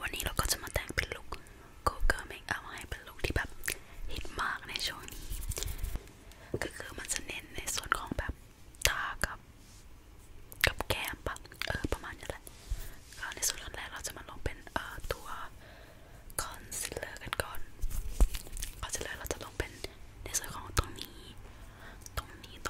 วันนี้เราก็จะมาแต่งเป็นลุคโกเกอร์เมคอัพให้เป็นลุคที่แบบฮิตมากในช่วงนี้ก็คือมันจะเน้นในส่วนของแบบตากับ กับแก้มปะเออประมาณนี้แหละก็ในส่วนแรกเราจะมาลงเป็นเอ่อตัวคอนซีลเลอร์กันก่อนคอนซีลเลอร์เราจะลงเป็นในส่วนของตรงนี้ ตรงนี้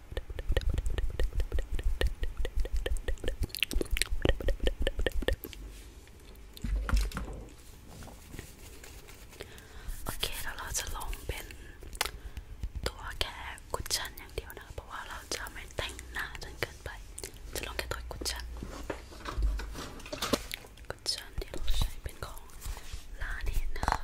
โอเคแล้วเราจะลองเป็นตัวแค่กุชชั่นอย่างเดียวนะ เพราะว่าเราจะไม่แต่งหน้าจนเกินไป จะลองแค่ตัวกุชชั่นกุชชั่นที่เราใช้เป็นของลาเนตนะคะ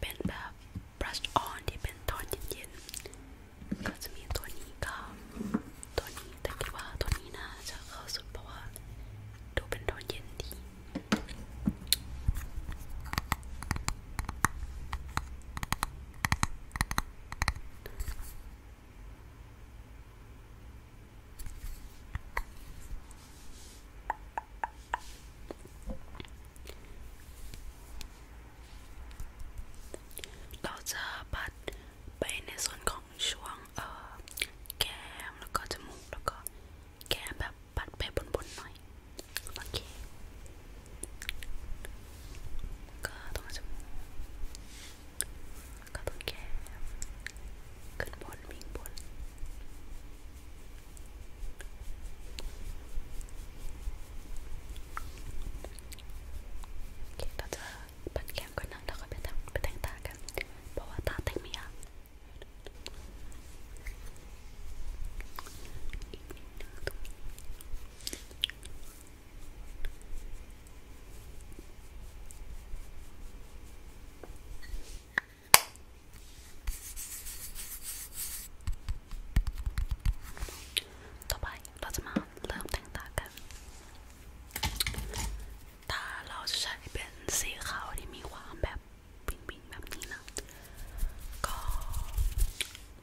เป็นแบบบลัชออนที่เป็นตอนเย็นๆก็จะมีตัวนี้กับ ตัวนี้ แต่คิดว่าตัวนี้น่าจะเข้าสุดเพราะว่า ดูเป็นตอนเย็นดีเเราจะปัดไปในส่วนของช่วงเออแก้มแล้วก็จมูกแล้วก็แก้มแบบปัดไปบนๆหน่อยโอเคก็ตรงจมูกก็ตรงแก้มขึ้นบนวิ่งบนเคเราจะปัดแก้มก่อนนะแล้วก็ไปทำไปแต่งตากันเพราะว่าตาแต่งไม่ยากโอต่อไปเราจะมาเริ่มแต่งตากันตาเราจะใช้เป็นสีขาวที่มีความแบบปิ๊งๆแบบนี้นะ ก็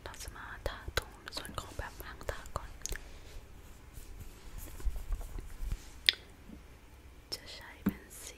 เราจะมาทาตรงส่วนของแบบหางตาก่อน จะใช้เป็นสี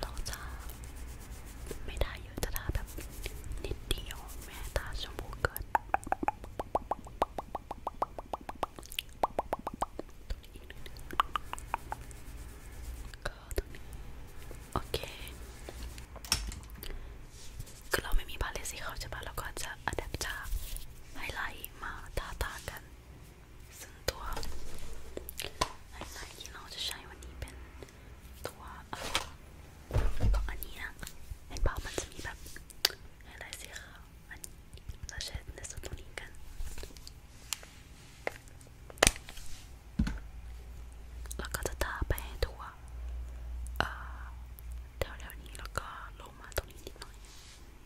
เราจะไม่ทาเยอะจะทาแบบนิดเดียวแม่ตาชมพูเกินตัวนี้อีกนิดนึงก็ตัวนี้โอเคคือเราไม่มีพาเลตสีขาวใช่ปะเราก็จะอัดแอปจากไฮไลท์มาทาตากันซึ่งตัวไฮไลท์ที่เราจะใช้วันนี้เป็นตัวของอันนี้นะเห็นเปล่ามันจะมีแบบไฮไลท์สีขาวอันนี้เราใช้ในส่วนตรงนี้กันแล้วก็จะทาไปให้ทั่วเอ่อแถวๆนี้แล้วก็ลงมาตรงนี้นิดหน่อย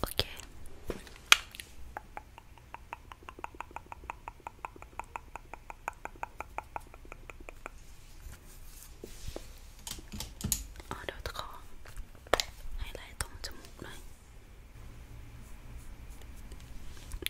โอเคเอาเดี๋ยวตะขอให้ไล่ตรงจมูกหน่อย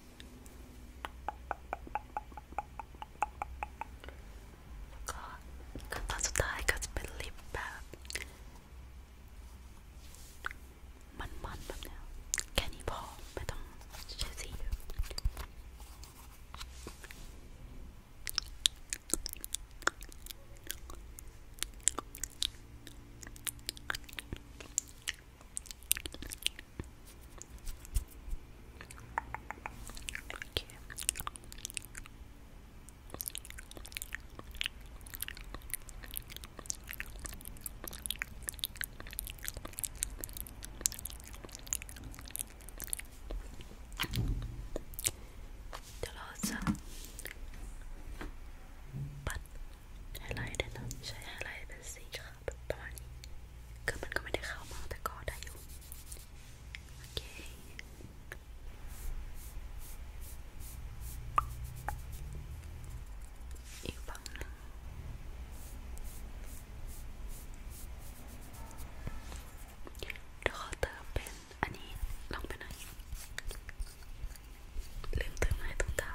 แล้วก็ขั้นตอนสุดท้ายก็จะเป็นลิปแบบมันๆแบบนี้แค่นี้พอไม่ต้องใช้สีเยอะโอเคเดี๋ยวเราจะปัดไฮไลท์ด้วยนะใช้ไฮไลท์เป็นสีขประมาณนี้คือมันก็ไม่ได้เข้ามาแต่ก็ได้อยู่โอเคอีกฝั่งนึงเดี๋ยวขอเติมเป็นอันนี้ลองไปหน่อยลืมเติมให้ตรงตา